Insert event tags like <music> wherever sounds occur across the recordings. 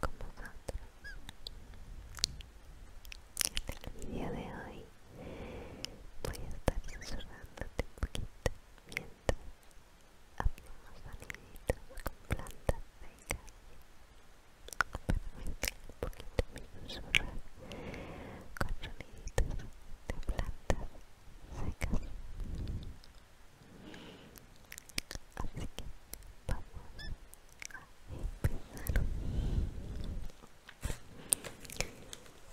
con vosotros en el video de hoy voy a estar susurrándote un poquito mientras hacemos soniditos con plantas secas permítame un poquito mi susurrar con soniditos de plantas secas Así que vamos a empezar.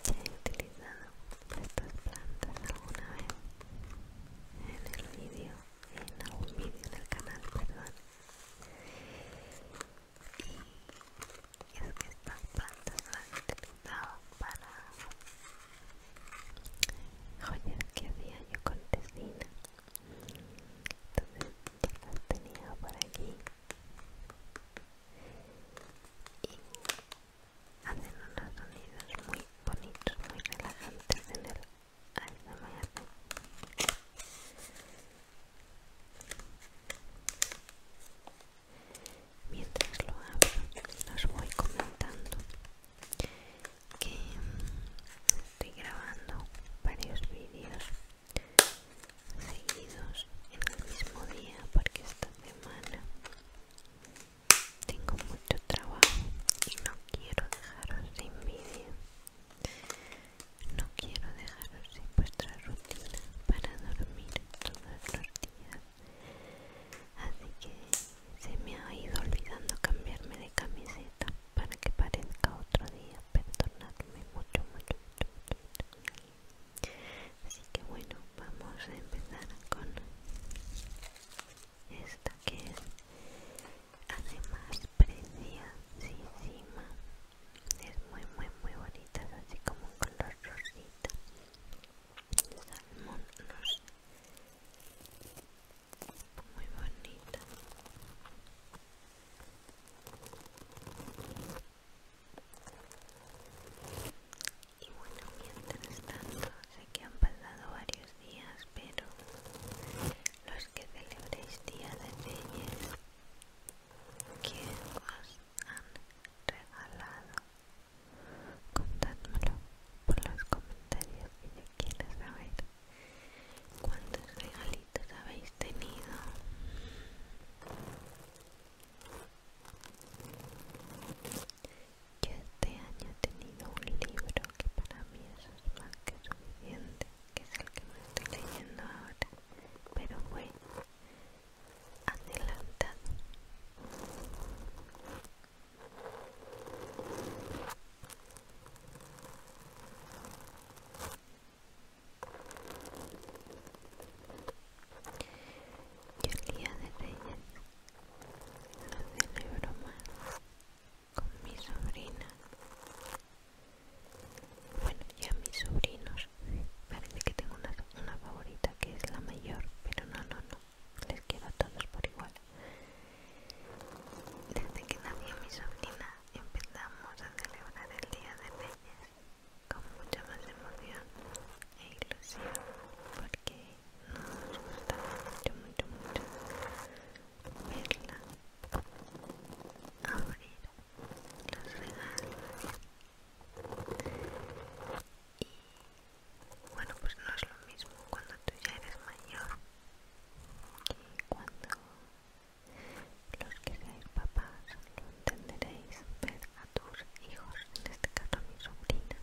he utilizado estas plantas alguna vez en el vídeo, en algún vídeo en el canal, perdón. Y es que estas plantas las he utilizado para joyas que hacía yo con tesina entonces las tenido por aquí y hacen unos sonidos muy bonitos muy relajantes en el ASMR mientras lo hago, los voy comentando que estoy grabando varios vídeos seguidos en el mismo día porque esta semana tengo mucho trabajo y no quiero dejaros sin vídeo no quiero dejaros sin vuestra rutina para dormir todos los días así que se me ha ido olvidando cambiarme de camiseta para que parezca otro día perdonadme mucho mucho mucho mucho así que bueno vamos a empezar con esta que es además encima es muy muy muy bonita es así como un color rosita salmón no muy bonita y bueno mientras tanto sé que han pasado varios días pero los que celebréis día de reyes ¿Qué os han regalado contádmelo por los comentarios Si lo saber cuántos regalitos habéis tenido yo este año he tenido un libro que para mí es más que suficiente que es el que me estoy leyendo ahora pero bueno adelantado yo el día de Reyes lo celebro más con mi sobrina. Bueno, ya mis sobrinos. Parece que tengo una, una favorita que es la mayor, pero no, no, no. Les quiero a todos por igual. Desde que nació mi sobrina empezamos a celebrar el Día de Reyes con mucha más emoción e ilusión porque nos gustaba mucho, mucho, mucho verla abrir los regalos y bueno pues no es lo mismo cuando tú ya eres mayor y cuando los que papás lo entenderéis ver a tus hijos, en este caso a mi sobrina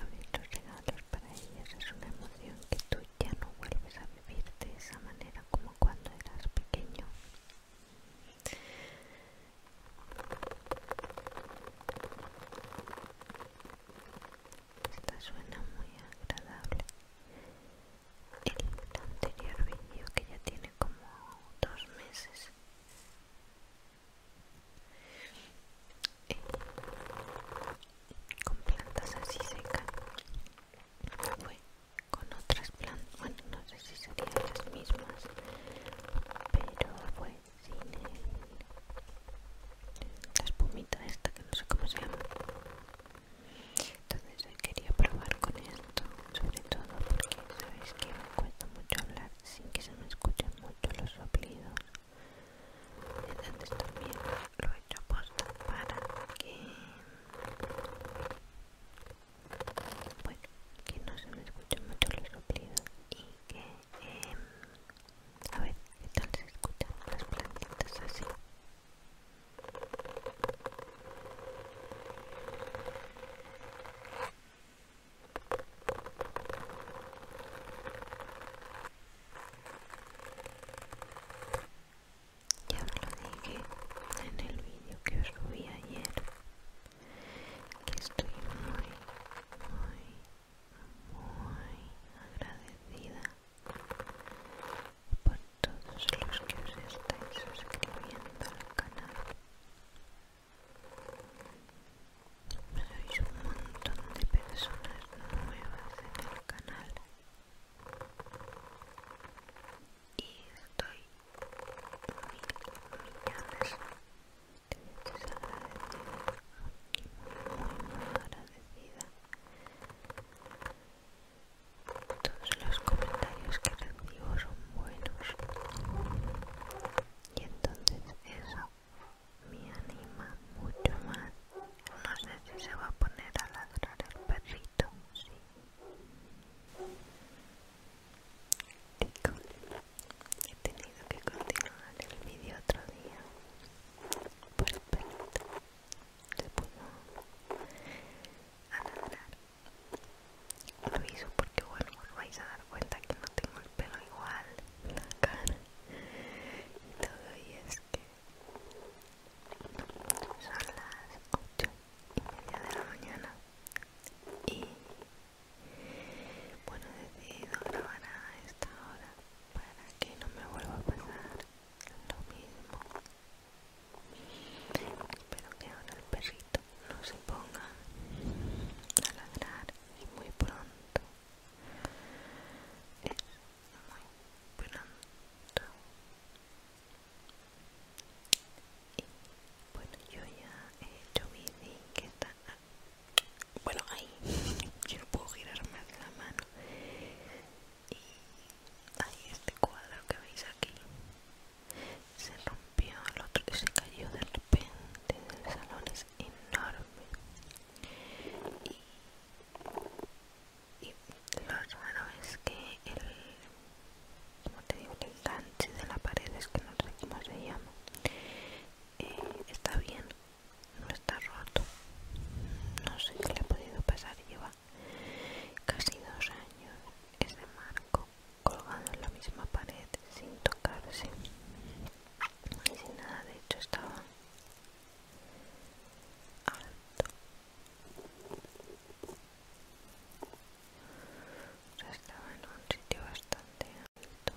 abrir los regalos para ellas es una emoción que tú ya no vuelves a vivir de esa manera como cuando eras pequeño esta suena muy agradable el anterior vídeo que ya tiene como dos meses eh, con plantas así secas fue con otras plantas bueno no sé si serían las mismas pero fue sin la espumita esta que no sé cómo se llama entonces quería probar con esto sobre todo porque sabéis que me cuesta mucho hablar sin que se me escuchen mucho los soplidos entonces también lo he hecho posta para que bueno que no se me escuchen mucho los soplidos y que eh, a ver, ¿qué tal se escuchan las plantitas así? Ya os lo dije en el vídeo que os subí ayer que estoy muy, muy muy agradecida por todos los que os estáis suscribiendo al canal. Sois un montón de personas nuevas en el canal y estoy muy muy muy, muy agradecida todos los comentarios que recibo son buenos. Y entonces eso me anima mucho más. No sé si se va a poner a ladrar el perrito, sí. He tenido que continuar el vídeo otro día perfecto el pelito se puso a nadar lo aviso porque bueno os vais a dar cuenta que no tengo el pelo igual la cara y todo y es que son las 8 media de la mañana y bueno he decidido grabar a esta hora para que no me vuelva a pasar lo mismo espero que ahora el perrito no se ponga a ladrar y muy pronto es muy pronto y bueno yo ya he hecho mi que bueno ahí yo no puedo girar más la mano y ahí este cuadro que veis aquí se rompió el otro se cayó de repente el salón es enorme y, lo raro es que el como te digo el gancho de la pared es que no sé cómo se llama eh, está bien no está roto no sé qué le ha podido pasar lleva casi dos años ese marco colgado en la misma pared sin tocarse y sin nada de hecho estaba alto estaba en un sitio bastante alto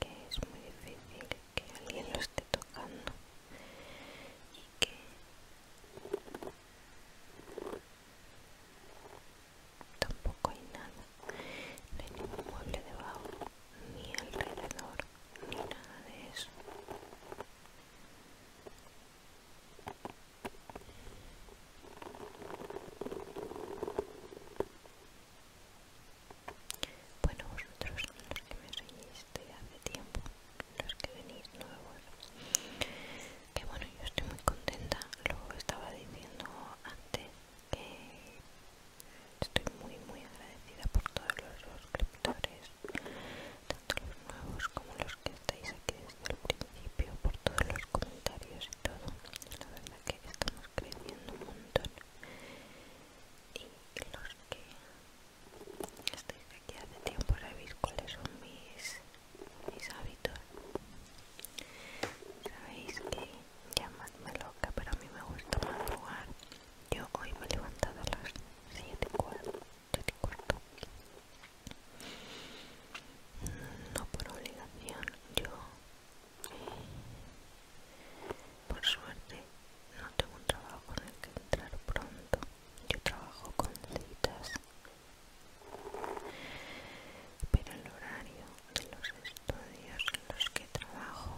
que es muy difícil que alguien lo esté tocando y que tampoco hay nada, no hay ningún mueble debajo, ni alrededor, ni nada de eso. Bueno, vosotros los que me seguís hace tiempo, los que venís nuevos, que bueno, yo estoy muy contenta, lo estaba diciendo antes, que estoy muy muy agradecida por todos los suscriptores, tanto los nuevos como los que estáis aquí desde el principio, por todos los comentarios y todo, la verdad que estamos creciendo un montón y los que Estoy aquí hace tiempo para ver cuáles son mis, hábitos. Sabéis que me loca, pero a mí me gusta jugar Yo hoy me he levantado a las siete cuarto. Mm, no por obligación, yo eh, por suerte, no tengo un trabajo en el que entrar pronto. Yo trabajo con citas. Pero el horario de los estudios en los que trabajo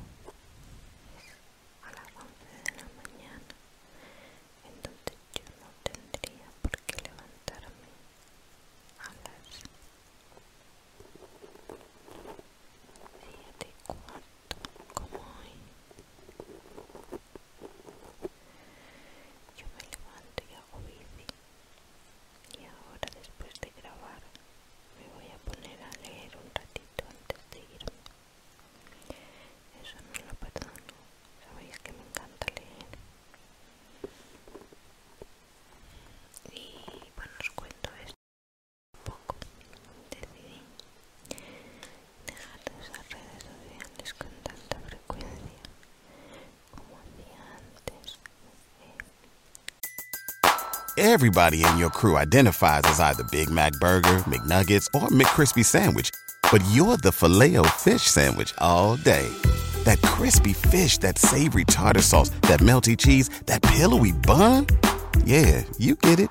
es a las 11 de la mañana. Entonces yo no tendría por qué levantarme a las de cuánto como hoy. Yo me levanto y hago bici. Y ahora después de grabar me voy a poner a leer un ratito antes de irme. Eso no lo pasado Sabéis que me encanta leer. Y bueno, os cuento esto Everybody in your crew identifies as either Big Mac Burger, McNuggets, or McCrispy Sandwich, but you're the filet fish Sandwich all day. That crispy fish, that savory tartar sauce, that melty cheese, that pillowy bun. Yeah, you get it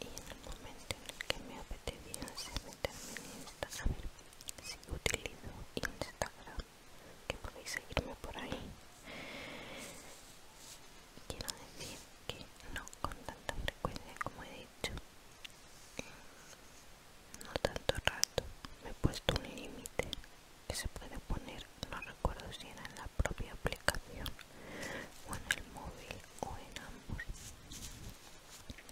y en el momento en el que me apetecía meterme en Instagram, a ver si utilizo Instagram, que podéis seguirme por ahí, quiero decir que no con tanta frecuencia como he dicho, no tanto rato, me he puesto un límite que se puede poner, no recuerdo si era en la propia aplicación o en el móvil o en ambos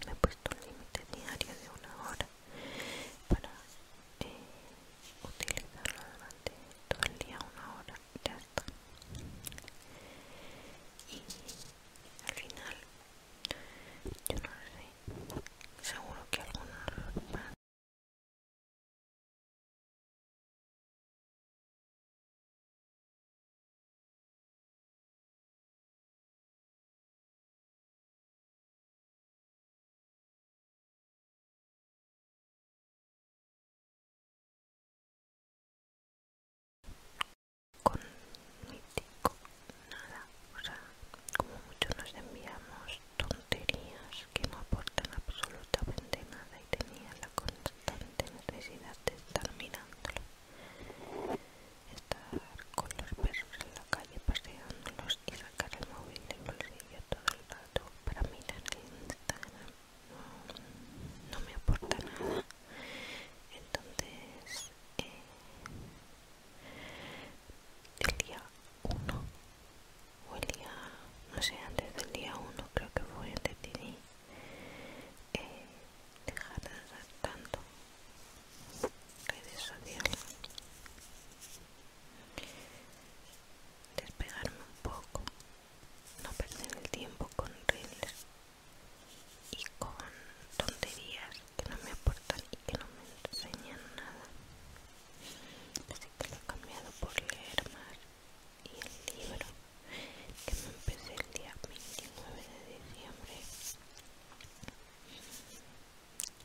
he puesto un límite diario de una hora para eh, utilizarlo durante todo el día una hora ya está y al final yo no lo sé seguro que algunos con mítico nada o sea como mucho nos enviamos tonterías que no aportan absolutamente nada y tenía la constante necesidad de estar mirándolo estar con los perros en la calle paseándolos y sacar el móvil del bolsillo todo el rato para mirar Instagram no, me aporta nada entonces eh, el día 1 o el día no sé antes del día 1 creo que fue ti dejar de tanto redes sociales despegarme un poco no perder el tiempo con reels y con tonterías que no me aportan y que no me enseñan nada así que lo he cambiado por leer más y el libro que me empecé el día 29 de diciembre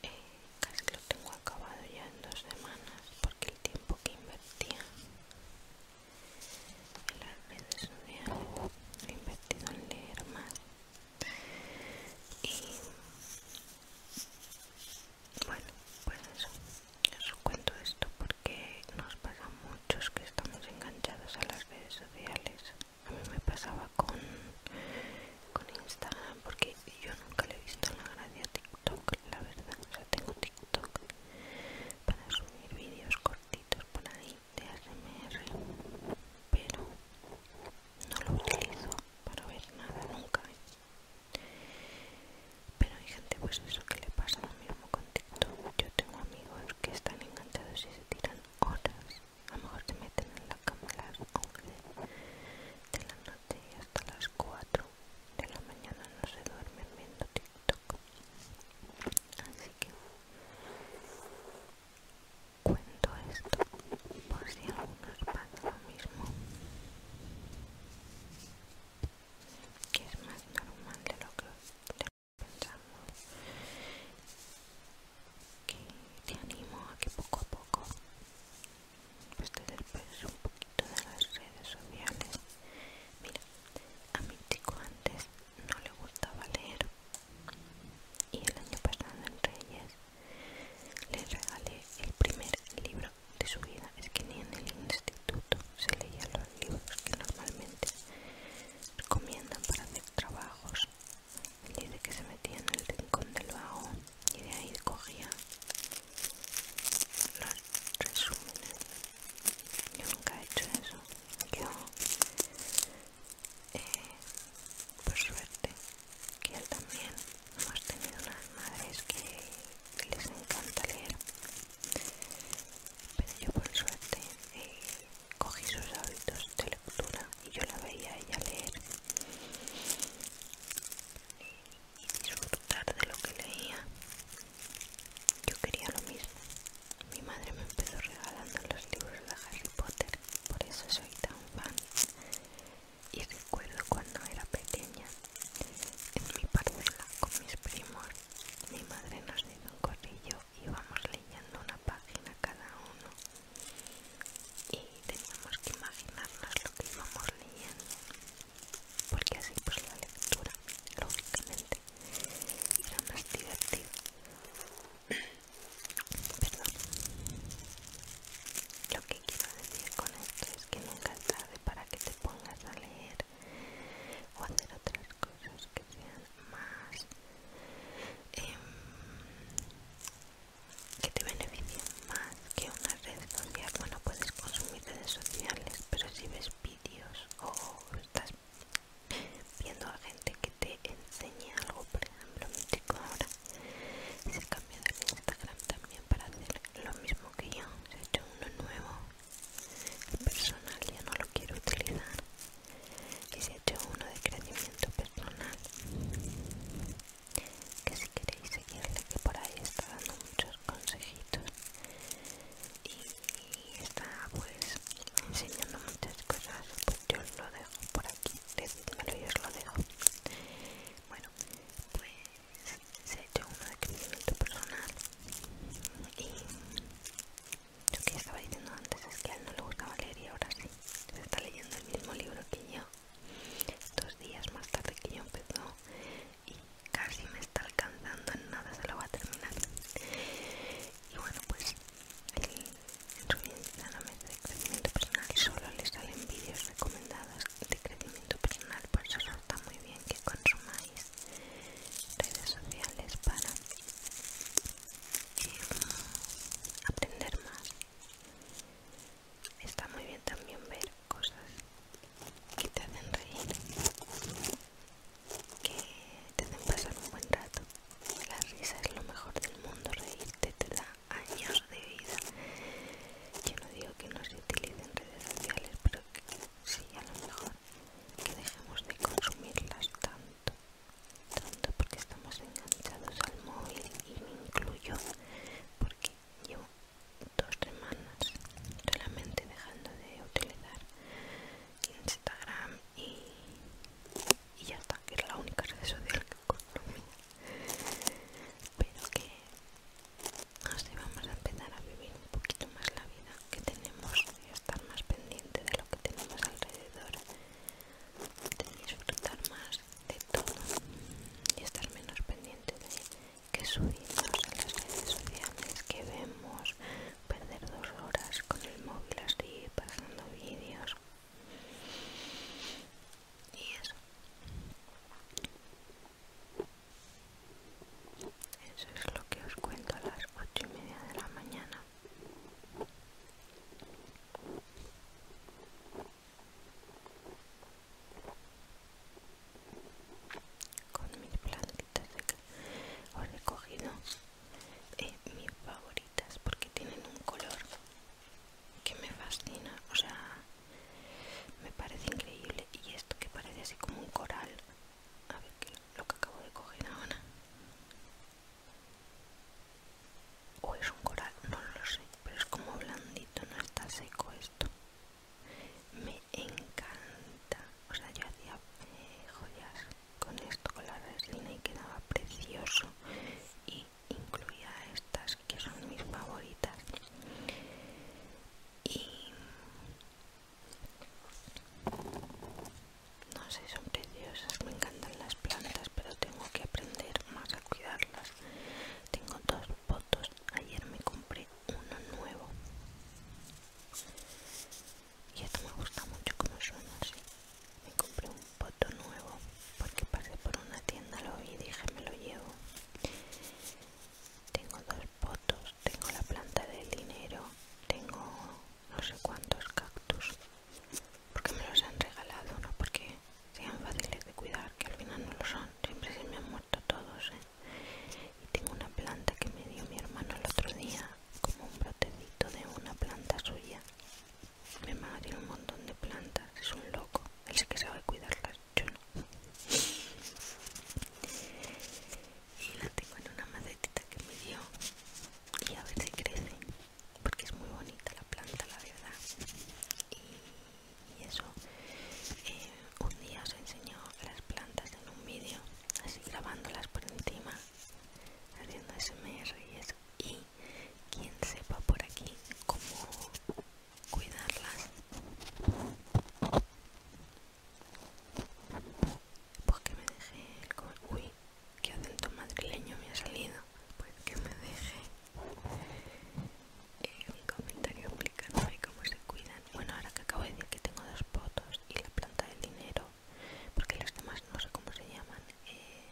eh, casi lo tengo acabado ya en dos semanas porque el tiempo que invertía en las redes sociales he invertido en leer más y bueno pues eso os cuento esto porque nos pasa a muchos que estamos enganchados a las redes sociales a mí me pasaba con, Instagram porque yo nunca le he visto la gracia a TikTok, la verdad. O sea, tengo TikTok para subir vídeos cortitos por ahí de ASMR, pero no lo utilizo para ver nada nunca. Pero hay gente, pues eso que le pasa lo mismo con TikTok. Yo tengo amigos que están encantados y se tiran horas. A lo mejor te meten en la cama a las 11 de la noche y hasta las 4 de la mañana no se duermen viendo TikTok. Así que cuento esto por si a algunos pasa lo mismo. Que es más normal de lo que, pensamos que te animo a que poco a poco pues te un poquito de las redes sociales mira a mi chico antes no le gustaba leer y el año pasado en Reyes le regalé el primer libro de su vida es que ni en el instituto se leían los libros que normalmente recomiendan para hacer trabajos. Él dice que se metía en el rincón del vago y de ahí cogía los resúmenes. Yo nunca he hecho eso. Yo, eh, por suerte, que él también hemos tenido unas madres que les encanta leer. Pero yo por suerte eh, Cogí sus hábitos de lectura y yo la veía a ella leer y disfrutar de lo que leía. Yo quería lo mismo. Mi madre me empezó regalando los libros de Harry Potter, por eso soy tan fan. Y recuerdo cuando era pequeña, en mi parcela con mis primos, mi madre nos dio un corrillo y vamos leyendo una página cada uno y teníamos que imaginarnos lo que íbamos leyendo porque así pues la lectura lógicamente era más divertida <clears throat> perdón lo que quiero decir con esto es que nunca es tarde para que te pongas a leer o hacer otras cosas que sean más em, que te beneficien más que una red social bueno puedes consumir redes sociales pero si ves vídeos o estás viendo a gente que te enseña algo por ejemplo mi chico ahora se cambiado de Instagram también para hacer lo mismo que yo se ha hecho uno nuevo personal yo no lo quiero utilizar se echó uno de crecimiento personal que si queréis seguirle que por ahí está dando muchos consejitos y está pues enseñando muchas cosas pues yo os lo dejo por aquí decídmelo y os lo dejo bueno pues se ha hecho uno de crecimiento personal y lo que estaba diciendo antes es que a él no le gustaba leer y ahora sí. Se está leyendo el mismo libro que yo. Dos días más tarde que yo empezó y casi me está alcanzando. En nada se lo va a terminar. Y bueno, pues el, en su Instagram de crecimiento personal solo le salen vídeos recomendados de crecimiento personal. Por eso está muy bien que consumáis redes sociales para aprender más. Está muy bien también ver cosas que te hacen reír, que te hacen pasar un buen rato. La risa es lo mejor del mundo, reírte te da años de vida. Yo no digo que no se utilicen redes sociales, pero que sí, a lo mejor que dejemos de consumirlas tanto tanto porque estamos enganchados al móvil y me incluyo porque llevo dos semanas solamente dejando de utilizar Instagram y, ya está, que es la única red social que consumo pero que así vamos a empezar a vivir un poquito más la vida que tenemos y estar más pendiente de lo que tenemos alrededor, de disfrutar más de todo y estar menos pendiente de que subimos a las redes sociales, que vemos, perder dos horas con el móvil así, pasando vídeos y eso. Eso es lo que os cuento a las ocho y media de la mañana. Con mis plantitas he recogido eh, mis favoritas porque tienen un color que me fascina, o sea, me parece increíble. Y esto que parece así como un coral, a ver qué lo que acabo de coger ahora o es un coral, no lo sé, pero es como blandito, no está seco esto. Me encanta, o sea, yo hacía eh, joyas con esto, con la resina y quedaba precioso y incluía estas que son mis favoritas. Y no sé, son preciosas, me encantan las plantas, pero tengo que aprender más a cuidarlas. Tengo dos potos, ayer me compré uno nuevo. Y esto me gusta mucho como suena así. Me compré un poto nuevo porque pasé por una tienda, lo vi y dije me lo llevo. Tengo dos potos, tengo la planta del dinero, tengo no sé cuántos cactus porque me los han regalado, no porque sean fáciles de cuidar, que al final no lo son, siempre se me han muerto todos. ¿eh? Y tengo una planta que me dio mi hermano el otro día, como un brotecito de una planta suya. Mi hermano tiene un montón de plantas, es un loco, él sí que sabe cuidarlas, yo no y la tengo en una macetita que me dio y a ver si crece porque es muy bonita la planta la verdad y, eso eh, un día os enseñó las plantas en un vídeo así grabándolas por encima haciendo smr y eso y quien sepa por aquí cómo cuidarlas ¿Por que me dejé el comentario. Uy, qué acento madrileño me ha salido. ¿Por que me dejé? Eh, un comentario explicándome cómo se cuidan. Bueno, ahora que acabo de decir que tengo dos potos y la planta del dinero, porque los demás no sé cómo se llaman. Eh,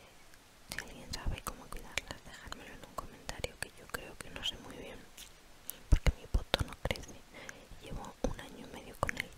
si alguien sabe cómo cuidarlas, dejármelo en un comentario que yo creo que no sé muy bien porque mi poto no crece llevo un año y medio con él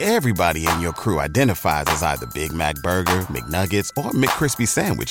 Everybody in your crew identifies as either Big Mac Burger, McNuggets, or McCrispy Sandwich